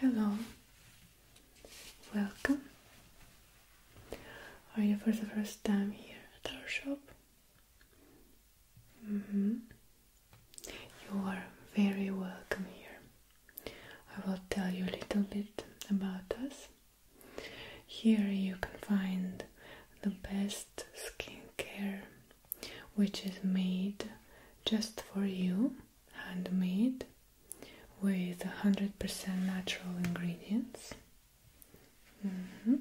Hello, welcome. Are you for the first time here at our shop? Mm -hmm. You are very welcome here. I will tell you a little bit about us here you can find the best skincare, which is made just for you, handmade, with 100% natural ingredients. Mm-hmm.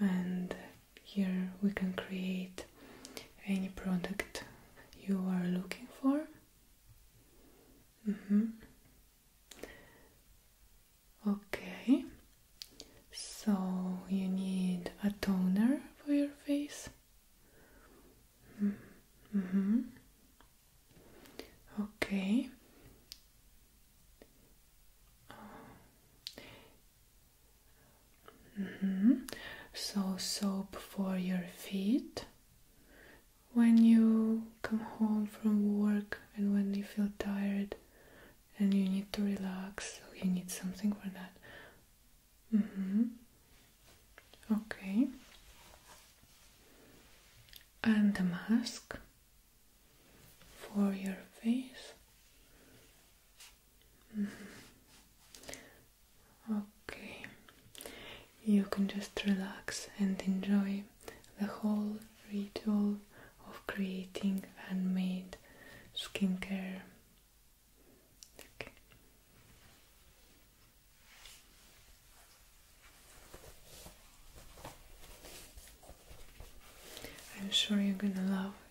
And here we can create any product you are looking for. Mm-hmm. Okay, so you need a toner for your face. Mm-hmm. Mm-hmm. Okay. Mm-hmm. So soap for your feet when you come home from work and when you feel tired and you need to relax, you need something for that. Mm-hmm. Okay. And the mask for your face. Okay. Mm-hmm. Okay, you can just relax and enjoy the whole ritual of creating handmade skincare. Okay. I'm sure you're gonna love it.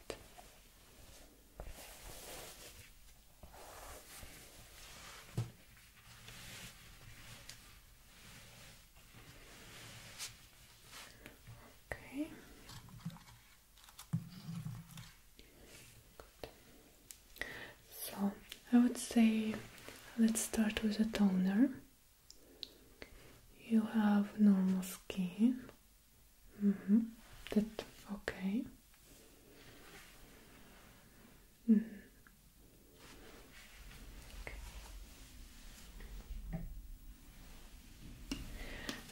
Okay. So I would say let's start with a toner. You have normal skin. Mm-hmm. That okay. Mm-hmm.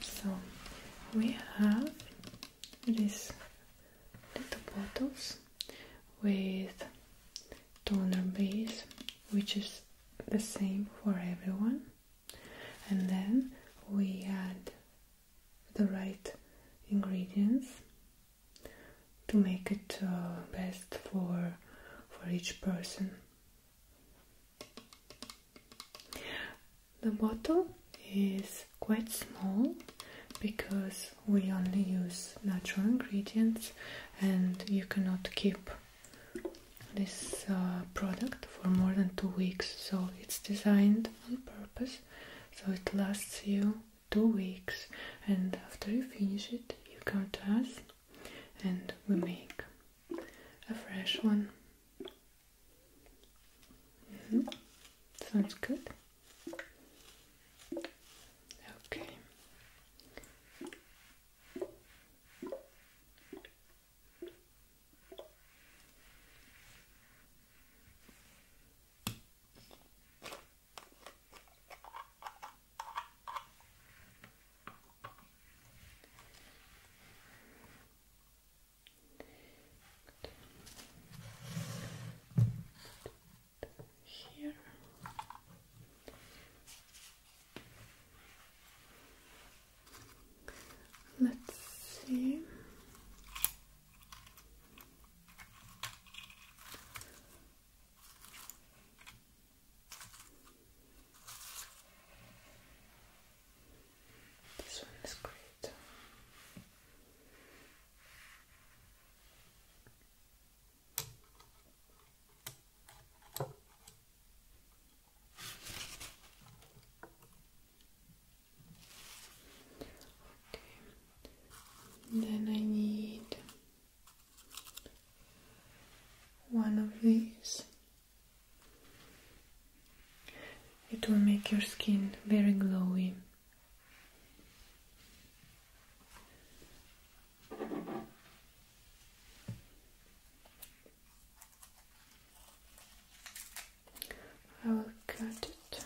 So we have these little bottles with toner base, which is the same for everyone, and then we add the right ingredients to make it uh, best for for each person. The bottle is quite small because we only use natural ingredients and you cannot keep this uh, product for more than two weeks so it's designed on purpose so it lasts you two weeks and after you finish it you come to us and we make a fresh one mm-hmm. sounds good okay here. Let's see. This one is great. Okay then I need one of these. It will make your skin very glowing. I will cut it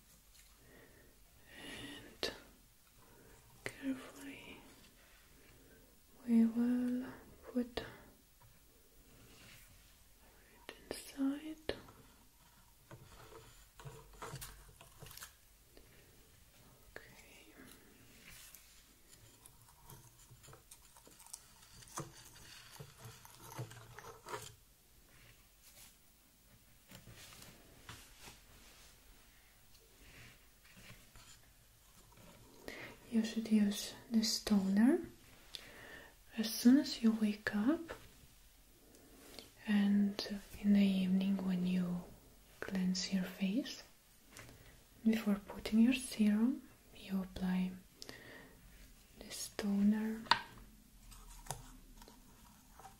and carefully we will put it inside. Okay. You should use this toner as soon as you wake up and in the evening when you cleanse your face. Before putting your serum, you apply this toner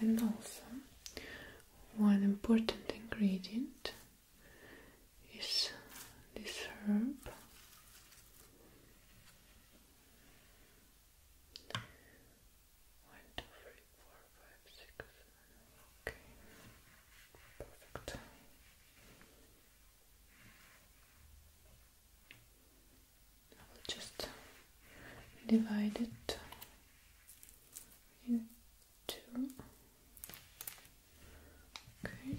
and also one important ingredient is this herb one, two, three, four, five, six, okay, perfect I will just divide it in two. Okay.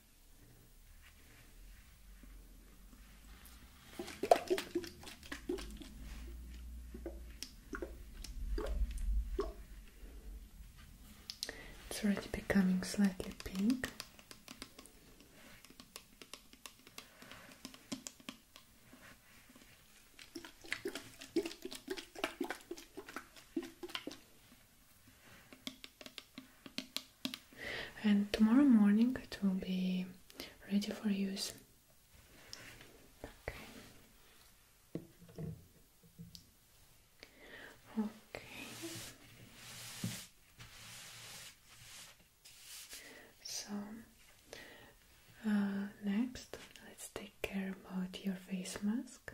It's already becoming slightly pink and tomorrow morning it will be ready for use. Okay. Okay. So uh, next, let's take care about your face mask.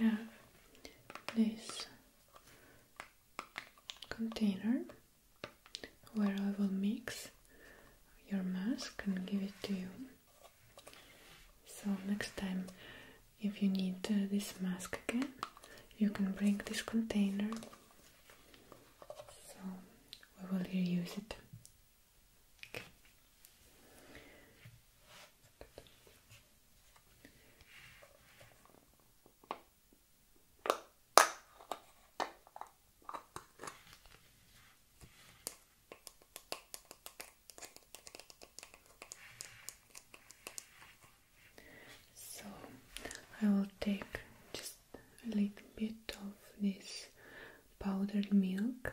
I have this container where I will mix your mask and give it to you. So next time if you need uh, this mask again, you can bring this container. So we will reuse it. Okay. So I will take just a little bit of this powdered milk.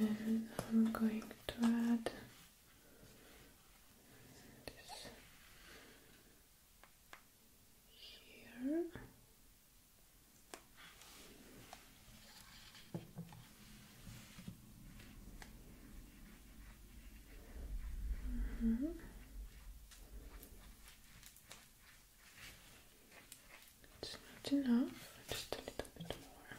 and I'm going to add this here. Mm-hmm. It's not enough, just a little bit more.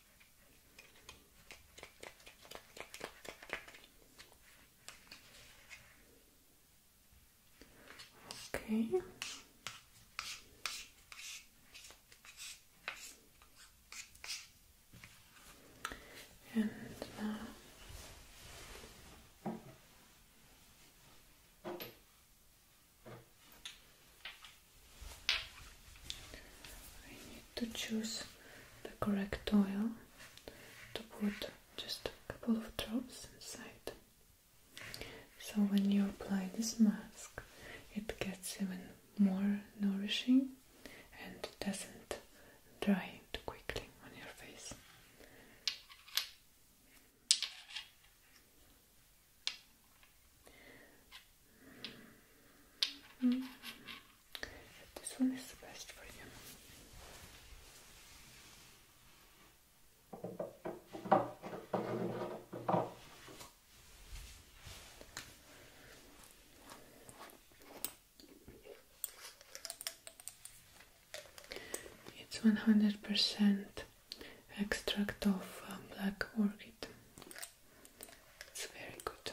Okay. And now uh, to choose the correct oil to put just a couple of drops inside. So when you apply this mask, it gets even more nourishing and doesn't dry too quickly on your face. Mm-hmm. This one is the best for you. It's one hundred percent extract of uh, black orchid. It's very good.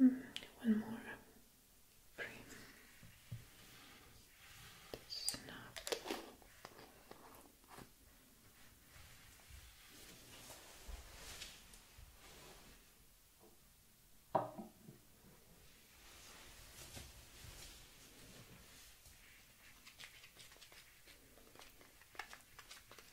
Mm, one more cream. That's not.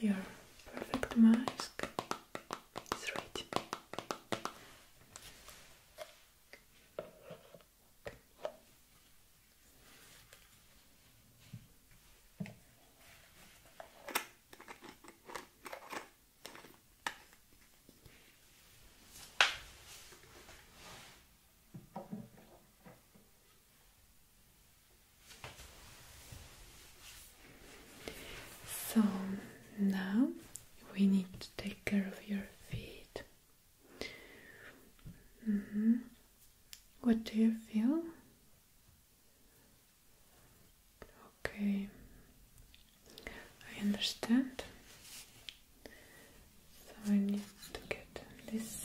Your perfect mask is ready. So now we need to take care of your feet. Mm -hmm. What do you feel? Okay, I understand. So I need to get this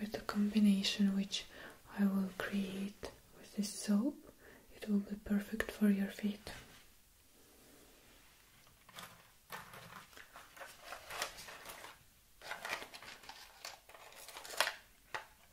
with the combination which I will create with this soap, it will be perfect for your feet.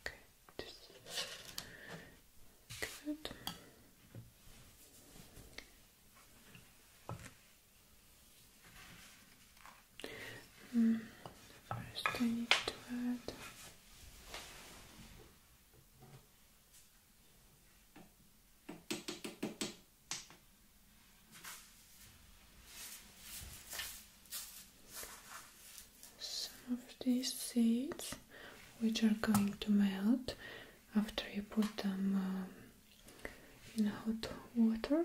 Okay, good. first, hmm, I need to add some of these seeds which are going to melt after you put them um, in hot water.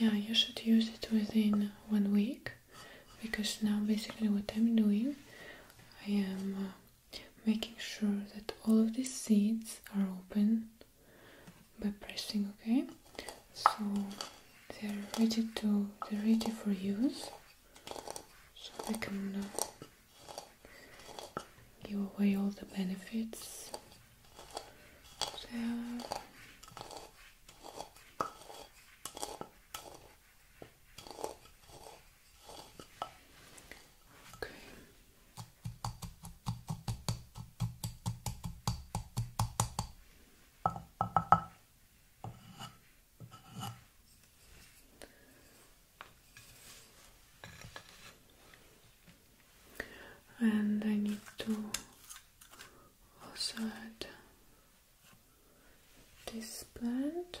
Yeah, you should use it within one week because now basically what I'm doing I am uh, making sure that all of these seeds are open by pressing okay so they're ready to they're ready for use so we can uh, give away all the benefits Okay. And I need to also add this plant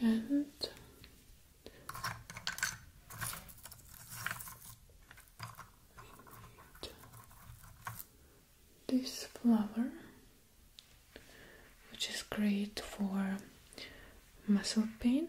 and this flower which is great for muscle pain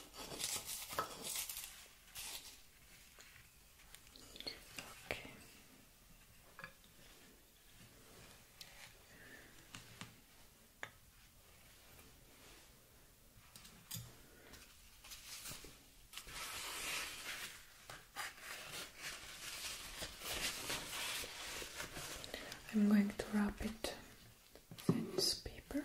Okay. I'm going to wrap it in this paper.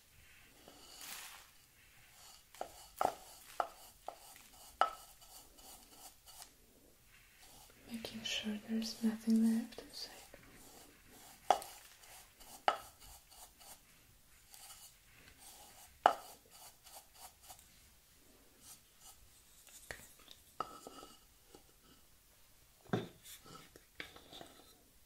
Making sure there's nothing left inside.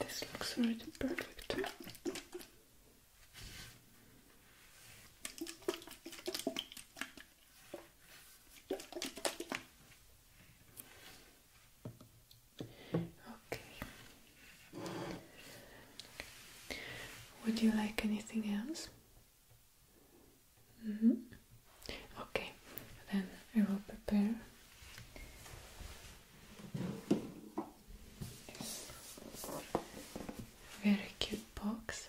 This looks very perfect. Okay. Would you like anything else? Mm -hmm. Okay, then I will prepare. very cute box.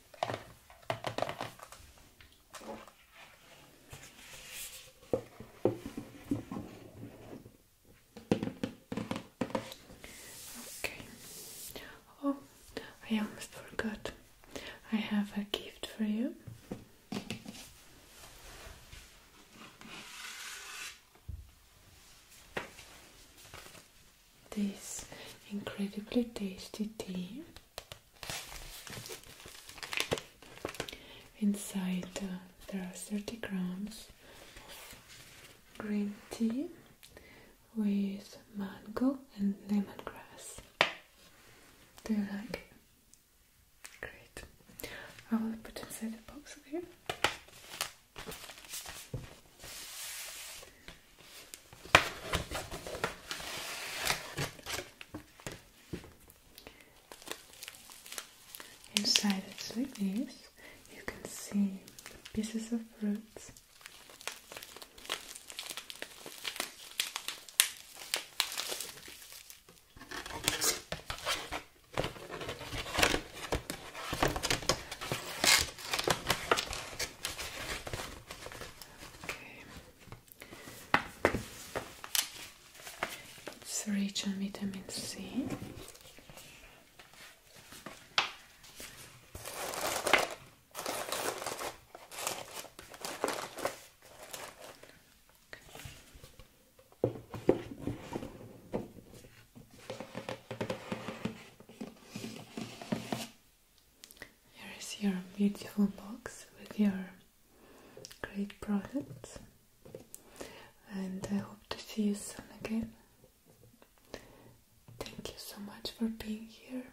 Okay. Oh, I almost forgot. I have a gift for you this incredibly tasty tea inside there are 30 grams of green tea with mango and lemongrass do you like it? great I will put inside the box okay Inside it's like this, you can see the pieces of roots. Okay. It's rich in vitamin C. Here is your beautiful box with your great product, and I hope to see you soon again. Thank you so much for being here.